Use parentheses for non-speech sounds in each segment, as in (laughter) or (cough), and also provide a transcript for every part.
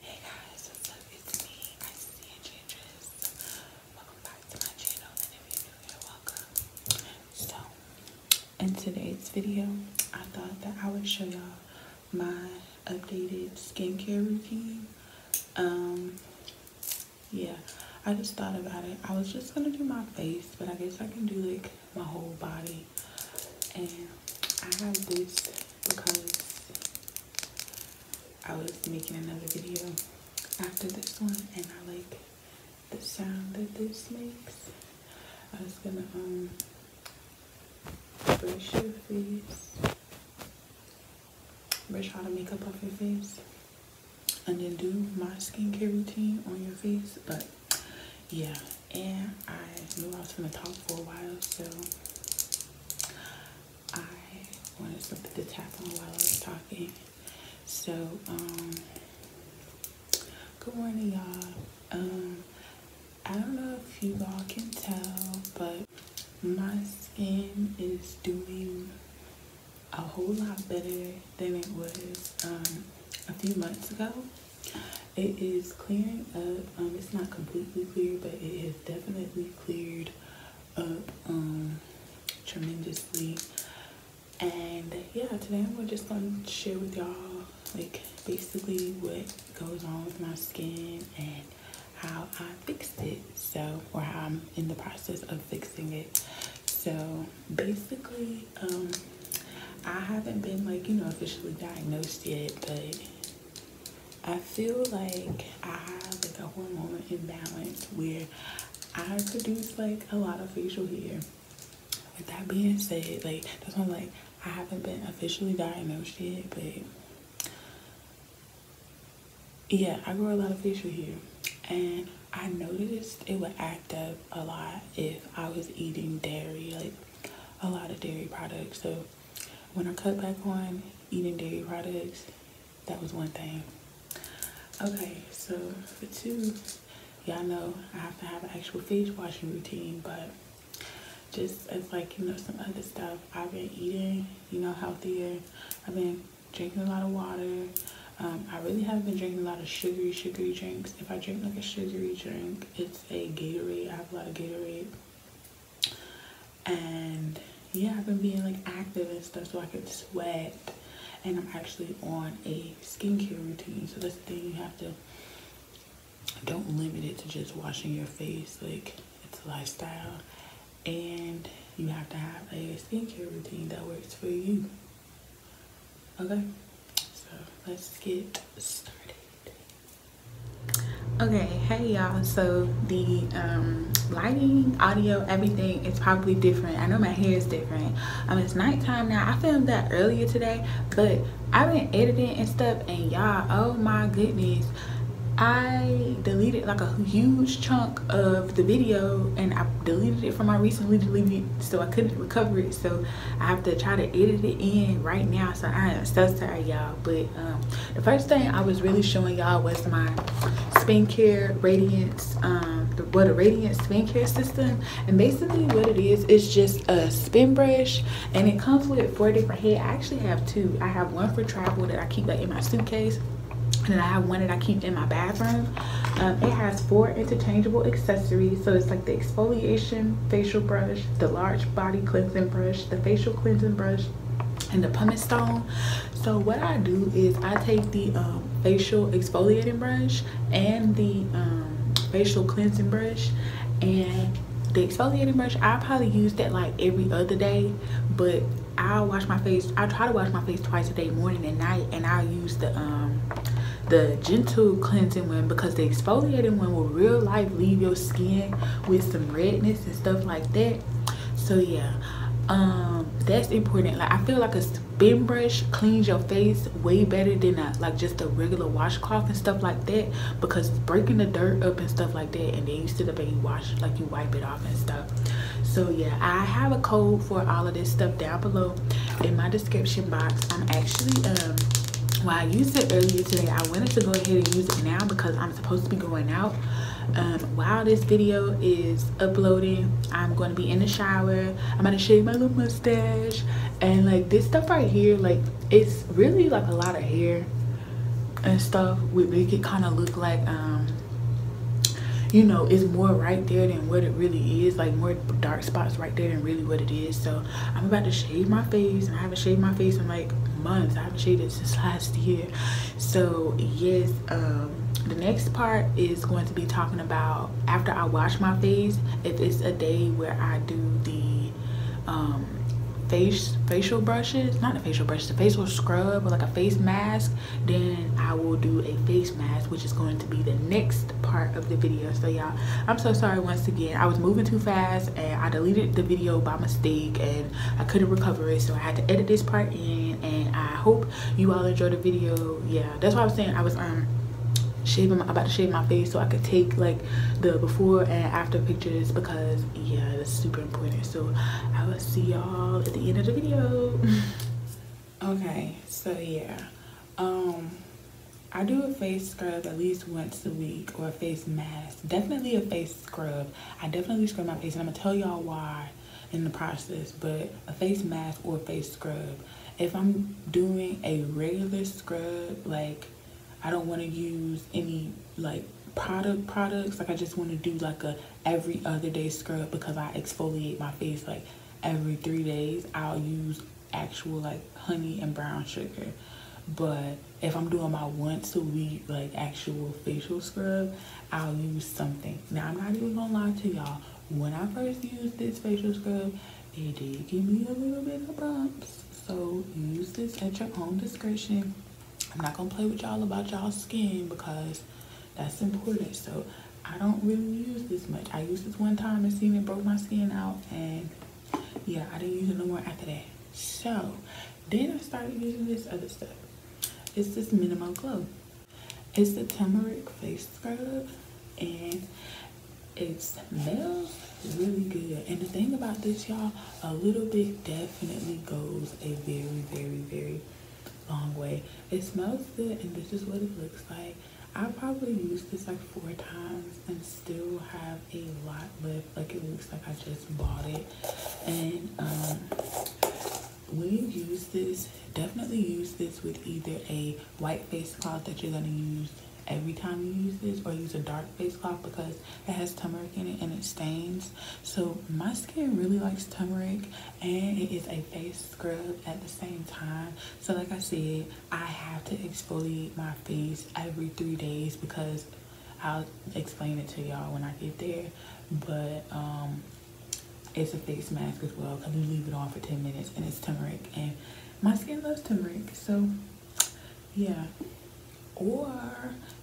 Hey guys, what's up? It's me, ICCN Changes. Welcome back to my channel, and if you're new here, welcome. So, in today's video, I thought that I would show y'all my updated skincare routine. Um, yeah, I just thought about it. I was just gonna do my face, but I guess I can do like my whole body. And I have this because I was making another video after this one and I like the sound that this makes. I was gonna um brush your face, brush all the makeup off your face, and then do my skincare routine on your face. But yeah, and I knew I was gonna talk for a while, so I wanted to look the tap on while I was talking. So, um, good morning, y'all. Um, I don't know if you all can tell, but my skin is doing a whole lot better than it was um, a few months ago. It is clearing up. it's not completely clear, but it is definitely cleared up um, tremendously. And yeah, today I'm just going to share with y'all like basically what goes on with my skin and how I fixed it. So, or how I'm in the process of fixing it. So basically, um, I haven't been like, you know, officially diagnosed yet, but I feel like I have like a hormonal imbalance where I produce like a lot of facial hair. With that being said, like that's why like I haven't been officially diagnosed yet, but yeah, I grow a lot of facial hair. And I noticed it would act up a lot if I was eating dairy, like a lot of dairy products. So when I cut back on eating dairy products, that was one thing. Okay, so for two, y'all know I have to have an actual face washing routine, but just as like, you know, some other stuff, I've been eating, you know, healthier. I've been drinking a lot of water. Um, I really haven't been drinking a lot of sugary, sugary drinks. If I drink like a sugary drink, it's a Gatorade. I have a lot of Gatorade and yeah I've been being like active and stuff so I could sweat and I'm actually on a skincare routine so that's the thing you have to don't limit it to just washing your face like it's a lifestyle and you have to have a skincare routine that works for you okay so let's get started okay hey y'all so the um, lighting audio everything is probably different i know my hair is different um it's nighttime now i filmed that earlier today but i've been editing and stuff and y'all oh my goodness i deleted like a huge chunk of the video and i deleted it from my recently deleted so i couldn't recover it so i have to try to edit it in right now so i am so sorry y'all but um, the first thing i was really showing y'all was my spin care radiance um what a radiant care system and basically what it is is just a spin brush and it comes with four different heads. i actually have two i have one for travel that i keep like in my suitcase and then I have one that I keep in my bathroom. Um, it has four interchangeable accessories. So it's like the exfoliation facial brush, the large body cleansing brush, the facial cleansing brush, and the pumice stone. So what I do is I take the um, facial exfoliating brush and the um, facial cleansing brush and the exfoliating brush I probably use that like every other day but I wash my face I try to wash my face twice a day morning and night and I use the um, the gentle cleansing one because the exfoliating one will real life leave your skin with some redness and stuff like that so yeah um that's important like i feel like a spin brush cleans your face way better than a, like just a regular washcloth and stuff like that because breaking the dirt up and stuff like that and then you sit up and you wash like you wipe it off and stuff so yeah i have a code for all of this stuff down below in my description box i'm actually um well i used it earlier today i wanted to go ahead and use it now because i'm supposed to be going out. Um, while this video is uploading, I'm going to be in the shower. I'm going to shave my little mustache. And like this stuff right here, like it's really like a lot of hair and stuff. We make it kind of look like, um, you know, it's more right there than what it really is. Like more dark spots right there than really what it is. So I'm about to shave my face. And I haven't shaved my face in like months i cheated since last year. So yes, um, the next part is going to be talking about after I wash my face, if it's a day where I do the um, face facial brushes, not a facial brush, the facial scrub or like a face mask, then I will do a face mask, which is going to be the next part of the video. So y'all, I'm so sorry once again. I was moving too fast and I deleted the video by mistake and I couldn't recover it so I had to edit this part in and I hope you all enjoy the video yeah that's what I was saying I was um shaving my, about to shave my face so I could take like the before and after pictures because yeah that's super important so I will see y'all at the end of the video (laughs) okay so yeah um, I do a face scrub at least once a week or a face mask definitely a face scrub. I definitely scrub my face and I'm gonna tell y'all why in the process, but a face mask or face scrub. If I'm doing a regular scrub, like I don't wanna use any like product products, like I just wanna do like a every other day scrub because I exfoliate my face like every three days, I'll use actual like honey and brown sugar. But if I'm doing my once a week like actual facial scrub, I'll use something. Now I'm not even gonna lie to y'all. When I first used this facial scrub, it did give me a little bit of bumps. So use this at your own discretion. I'm not gonna play with y'all about y'all skin because that's important. So I don't really use this much. I used this one time and seen it broke my skin out and yeah, I didn't use it no more after that. So then I started using this other stuff. It's this Minimal Glow. It's the turmeric face scrub and it smells really good. And the thing about this, y'all, a little bit definitely goes a very, very, very long way. It smells good and this is what it looks like. I probably used this like four times and still have a lot left. Like it looks like I just bought it. And we um, when use this, definitely use this with either a white face cloth that you're going to use every time you use this or use a dark face cloth because it has turmeric in it and it stains so my skin really likes turmeric and it is a face scrub at the same time so like i said i have to exfoliate my face every three days because I'll explain it to y'all when I get there. But um, it's a face mask as well because you leave it on for 10 minutes and it's turmeric. And my skin loves turmeric. So, yeah. Or,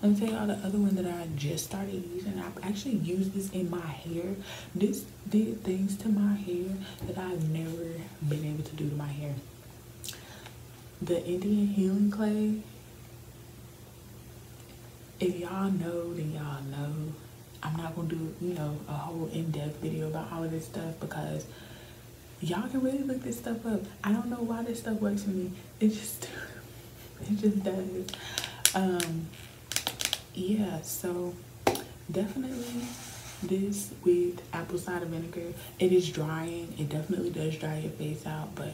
let me tell y'all the other one that I just started using. I've actually used this in my hair. This did things to my hair that I've never been able to do to my hair the Indian healing clay. If y'all know, then y'all know. I'm not gonna do, you know, a whole in-depth video about all of this stuff because y'all can really look this stuff up. I don't know why this stuff works for me. It just, (laughs) it just does. Um, yeah, so definitely this with apple cider vinegar it is drying. It definitely does dry your face out, but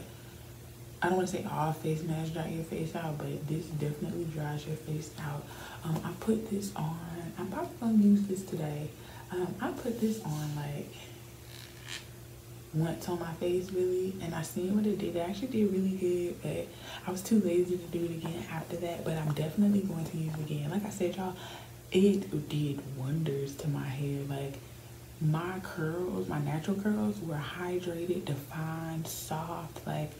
I don't want to say all face masks dry your face out, but this definitely dries your face out. Um, I put this on. I'm probably going to use this today. Um, I put this on like once on my face really and I seen what it did. It actually did really good but I was too lazy to do it again after that but I'm definitely going to use it again. Like I said y'all, it did wonders to my hair. Like my curls, my natural curls were hydrated, defined, soft. Like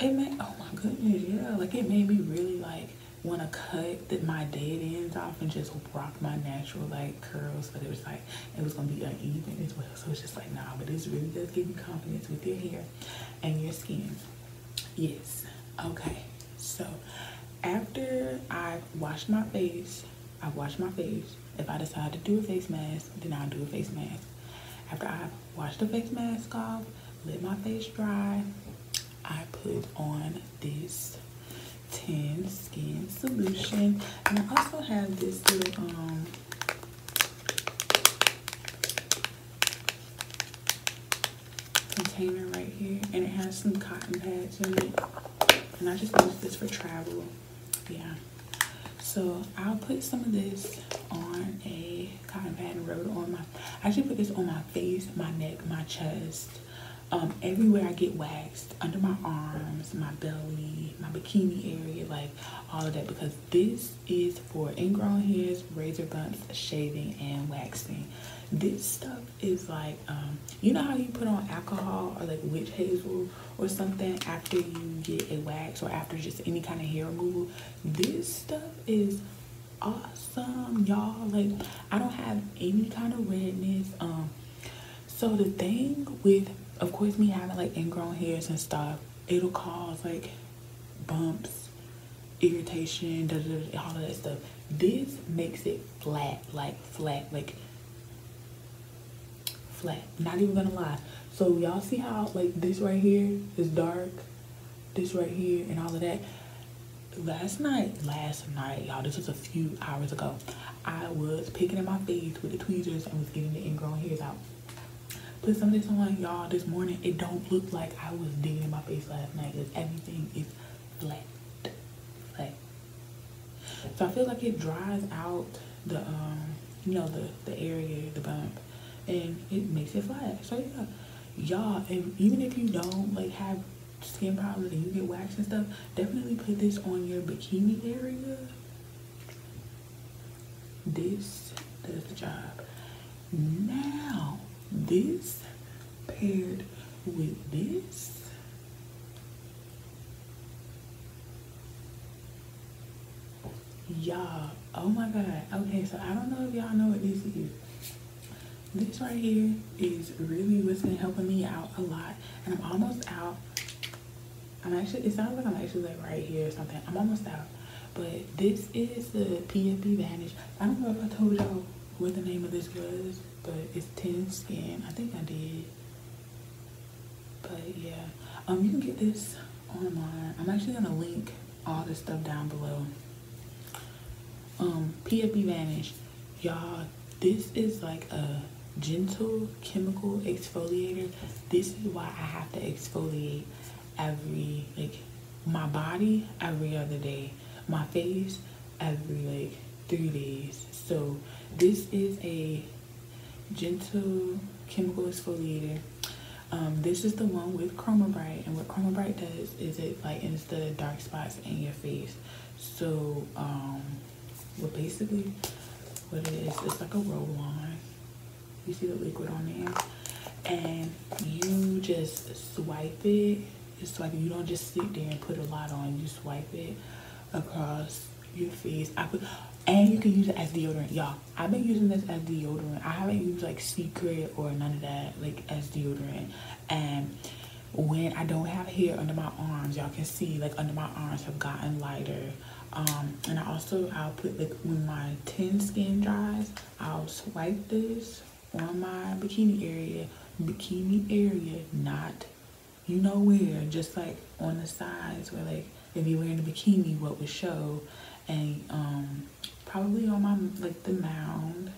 it made, oh my goodness, yeah. Like it made me really like want to cut my dead ends off and just rock my natural like curls. But it was like, it was going to be uneven as well. So it's just like, nah, but it really does give you confidence with your hair and your skin. Yes. Okay. So after I've washed my face, I wash my face. If I decide to do a face mask, then I'll do a face mask. After I've washed the face mask off, let my face dry, I put on this tan Skin Solution. And I also have this little, um, container right here and it has some cotton pads in it and I just use this for travel yeah so I'll put some of this on a cotton pad and rub it on my I should put this on my face my neck my chest um, everywhere I get waxed under my arms my belly my bikini area like all of that because this is for ingrown hairs razor bumps shaving and waxing this stuff is like um, you know how you put on alcohol or like witch hazel or something after you get a wax or after just any kind of hair removal. This stuff is awesome, y'all. Like I don't have any kind of redness. Um, so the thing with, of course, me having like ingrown hairs and stuff, it'll cause like bumps, irritation, all of that stuff. This makes it flat, like flat, like flat. Not even gonna lie. So y'all see how like this right here is dark, this right here and all of that. Last night, last night, y'all, this was a few hours ago. I was picking at my face with the tweezers and was getting the ingrown hairs out. Put some of this on, y'all, this morning, it don't look like I was digging my face last night because everything is flat, flat. So I feel like it dries out the, um, you know, the, the area, the bump, and it makes it flat. So yeah, y'all, even if you don't like have skin problems and you get waxed and stuff, definitely put this on your bikini area. This does the job. Now, this paired with this Y'all, oh my god. Okay, so I don't know if y'all know what this is. This right here is really what's been helping me out a lot. And I'm almost out. I'm actually, it sounds like I'm actually like right here or something. I'm almost out. But this is the PFB Vanish. I don't know if I told y'all what the name of this was, but it's Tin Skin. I think I did. But yeah, um, you can get this online. I'm actually gonna link all this stuff down below. Um, PFB Vanish, y'all. This is like a gentle chemical exfoliator. This is why I have to exfoliate every like my body every other day my face every like three days so this is a gentle chemical exfoliator um, this is the one with chroma bright and what chroma bright does is it lightens the dark spots in your face so um, well basically what it is it's like a roll-on you see the liquid on there and you just swipe it it's so like you don't just sit there and put a lot on. You swipe it across your face. I put, and you can use it as deodorant, y'all. I've been using this as deodorant. I haven't used like Secret or none of that like as deodorant. And when I don't have hair under my arms, y'all can see like under my arms have gotten lighter. Um, and I also I'll put like when my tanned skin dries, I'll swipe this on my bikini area. Bikini area, not you know where, just like on the sides where like if you're wearing a bikini, what would show and um, probably on my, like the mound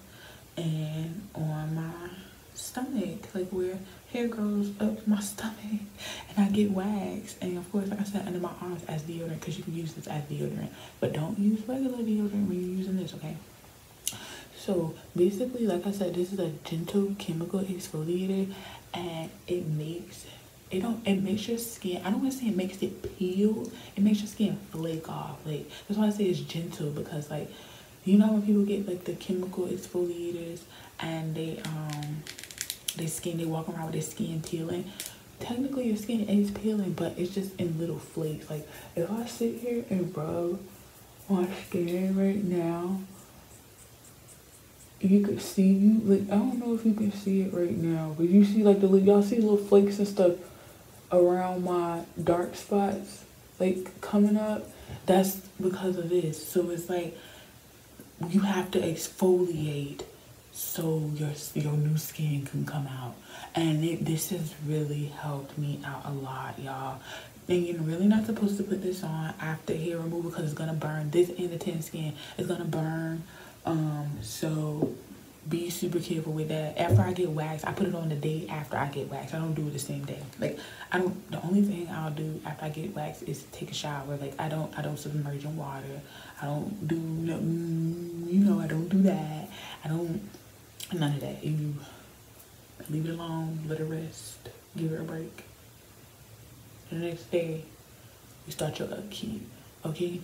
and on my stomach, like where hair grows up my (laughs) stomach and I get wax. And of course, like I said, under my arms as deodorant because you can use this as deodorant. But don't use regular deodorant when you're using this, okay? So basically, like I said, this is a gentle chemical exfoliator, and it makes it do it makes your skin. I don't want to say it makes it peel. It makes your skin flake off. Like that's why I say it's gentle because like you know when people get like the chemical exfoliators and they um their skin they walk around with their skin peeling. Technically, your skin is peeling, but it's just in little flakes. Like if I sit here and rub on scary right now. You could see you like I don't know if you can see it right now, but you see like the y'all see little flakes and stuff around my dark spots like coming up. That's because of this. So it's like you have to exfoliate so your your new skin can come out. And this has really helped me out a lot, y'all and you're really not supposed to put this on after hair removal because it's gonna burn this in the tin skin it's gonna burn um so be super careful with that after i get waxed i put it on the day after i get waxed i don't do it the same day like i don't the only thing i'll do after i get waxed is take a shower like i don't i don't submerge in water i don't do no, you know i don't do that i don't none of that you Leave it alone, let it rest, give it a break. The next day, you start your upkeep, okay?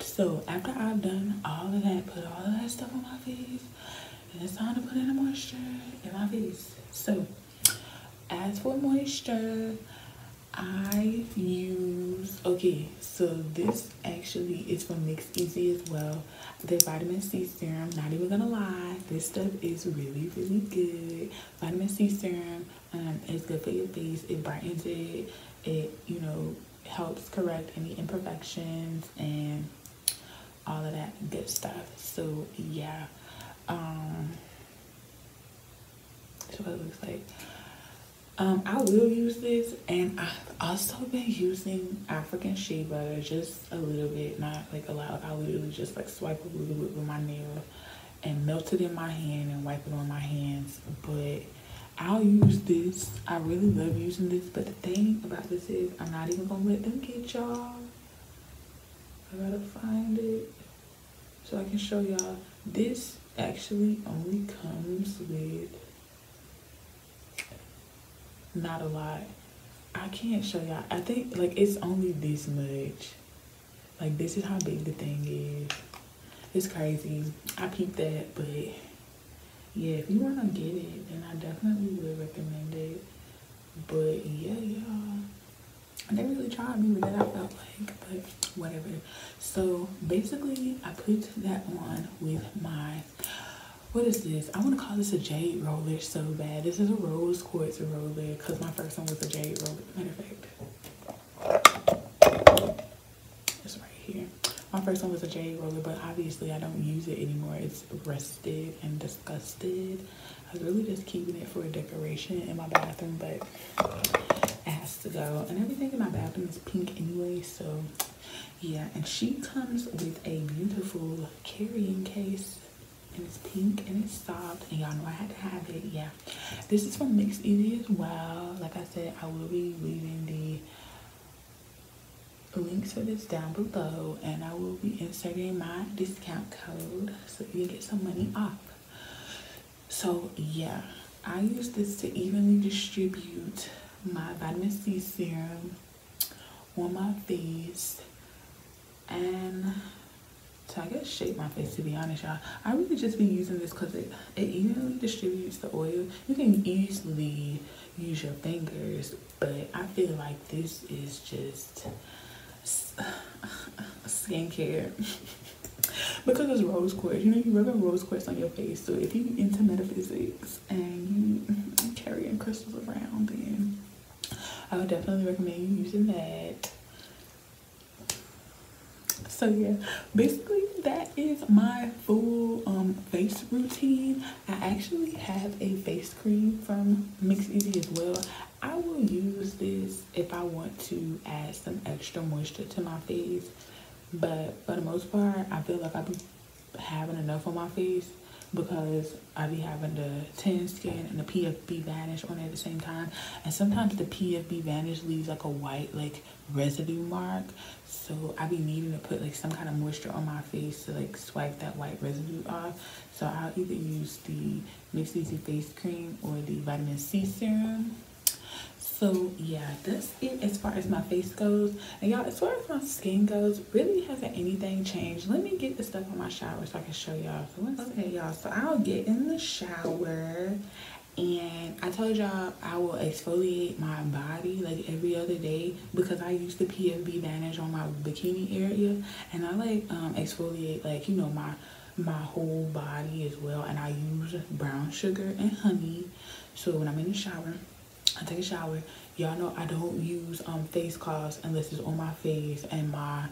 So after I've done all of that, put all of that stuff on my face, and it's time to put in the moisture in my face. So as for moisture, I use, okay, so this actually is from Mix Easy as well. So the vitamin C serum, not even gonna lie, this stuff is really, really good. Vitamin C serum um, is good for your face. It brightens it. It, you know, helps correct any imperfections and all of that good stuff. So yeah, um, what it looks like. Um, I will use this, and I've also been using African shea butter just a little bit, not like a lot. I literally just like swipe a little bit with my nail and melt it in my hand and wipe it on my hands. But I'll use this. I really love using this. But the thing about this is I'm not even going to let them get y'all. I got to find it so I can show y'all. This actually only comes with not a lot. I can't show y'all. I think like it's only this much. Like this is how big the thing is. It's crazy. I keep that, but yeah, if you wanna get it, then I definitely would recommend it. But yeah, y'all. They really tried me with that. I felt like, but whatever. So basically, I put that on with my what is this? I want to call this a jade roller so bad. This is a rose quartz roller because my first one was a jade roller. Matter of fact, it's right here. My first one was a jade roller, but obviously I don't use it anymore. It's rusted and disgusted. I was really just keeping it for a decoration in my bathroom, but it has to go. And everything in my bathroom is pink anyway, so yeah, and she comes with a beautiful carrying case and it's pink and it's soft and y'all know I had to have it. Yeah. This is from Mix Easy as well. Like I said, I will be leaving the links for this down below and I will be inserting my discount code so you can get some money off. So yeah, I use this to evenly distribute my vitamin C serum on my face and to I guess shape my face to be honest y'all I really just been using this because it, evenly distributes the oil you can easily use your fingers but I feel like this is just (sighs) skincare (laughs) because it's rose quartz you know you rub rose quartz on your face so if you into metaphysics and (laughs) carrying crystals around, then I would definitely recommend you using that. So yeah, basically that is my full um, face routine. I actually have a face cream from Mix Easy as well. I will use this if I want to add some extra moisture to my face. But for the most part, I feel like I'll be having enough on my face because I be having the tan skin and the PFB vanish on it at the same time. And sometimes the PFB vanish leaves like a white like residue mark. So I be needing to put like some kind of moisture on my face to like swipe that white residue off. So I'll either use the Mix Easy Face Cream or the Vitamin C Serum. So yeah, that's it as far as my face goes. And y'all, as far as my skin goes, really hasn't anything changed. Let me get the stuff on my shower so I can show y'all. okay, y'all. So I'll get in the shower and I told y'all I will exfoliate my body like every other day because I use the PFB bandage on my bikini area and I like um, exfoliate like you know my my whole body as well and I use brown sugar and honey so when I'm in the shower I take a shower. Y'all know I don't use um, face cloths unless it's on my face and my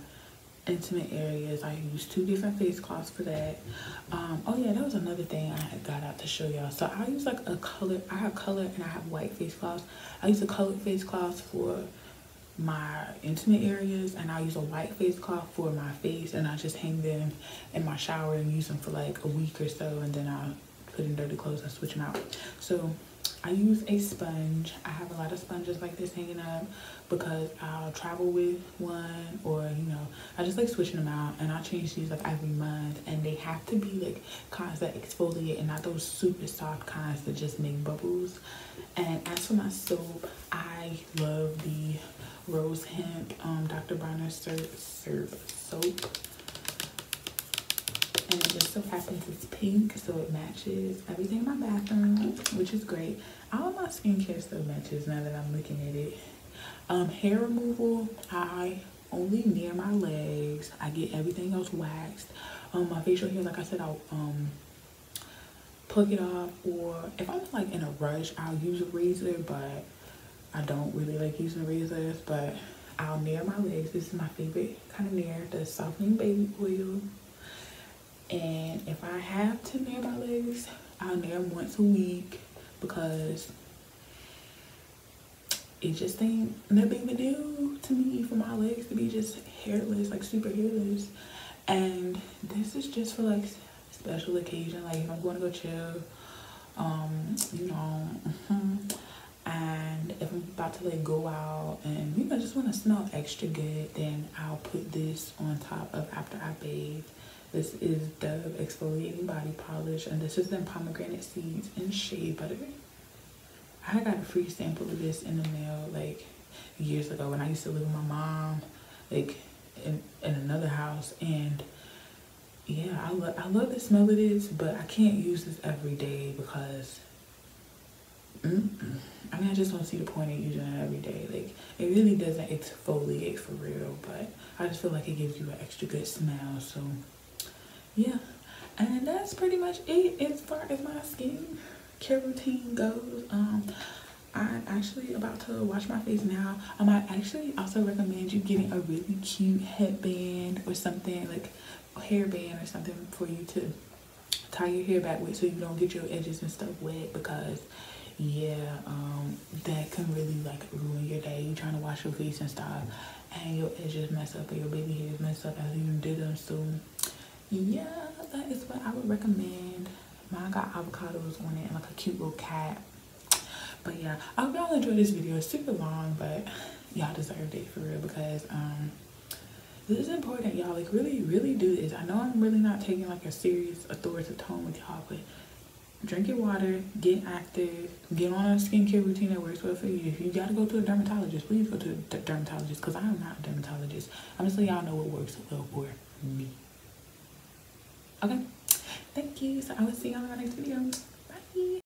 intimate areas. I use two different face cloths for that. Um, oh yeah, that was another thing I got out to show y'all. So I use like a color, I have color and I have white face cloths. I use a colored face cloth for my intimate areas and I use a white face cloth for my face and I just hang them in my shower and use them for like a week or so and then I putting dirty clothes I switch them out. So I use a sponge. I have a lot of sponges like this hanging up because I'll travel with one or, you know, I just like switching them out and I change these like every month and they have to be like kinds that exfoliate and not those super soft kinds that just make bubbles. And as for my soap, I love the Rose Hemp um, Dr. Bronner soap. And it just so happens it's pink, so it matches everything in my bathroom, which is great. All my skincare stuff matches now that I'm looking at it. Um, hair removal, I only near my legs. I get everything else waxed. Um, my facial hair, like I said, I'll um, pluck it off. Or if I'm like in a rush, I'll use a razor, but I don't really like using razors. But I'll near my legs. This is my favorite kind of near the softening baby oil. And if I have to nail my legs, I'll nail once a week because it just ain't nothing to do to me for my legs to be just hairless, like super hairless. And this is just for like special occasion, like if I'm going to go chill, um, you know, (laughs) uh, and if I'm about to like go out and you know just want to smell extra good then I'll put this on top of after I bathe this is Dove exfoliating body polish and this is in pomegranate seeds and shea butter I got a free sample of this in the mail like years ago when I used to live with my mom like in, in another house and yeah, I love I love the smell of this, but I can't use this every day because I mean I just don't see the point in using it every day. Like it really doesn't exfoliate for real, but I just feel like it gives you an extra good smell. So yeah, and that's pretty much it as far as my skin care routine goes. I'm um, actually about to wash my face now. I might actually also recommend you getting a really cute headband or something like hairband or something for you to tie your hair back with so you don't get your edges and stuff wet because yeah um, that can really like ruin your day you are trying to wash your face and stuff and your edges mess up and your baby hairs mess up after you did them so yeah that is what i would recommend mine got avocados on it and like a cute little cat but yeah i hope y'all enjoyed this video super long but y'all deserved it for real because um this is important y'all like really really do this i know i'm really not taking like a serious authoritative tone with y'all but drink your water get active get on a skincare routine that works well for you if you gotta go to a dermatologist please go to a dermatologist because i'm not a dermatologist i'm just so y'all know what works well for me okay thank you so i will see y'all in my next video bye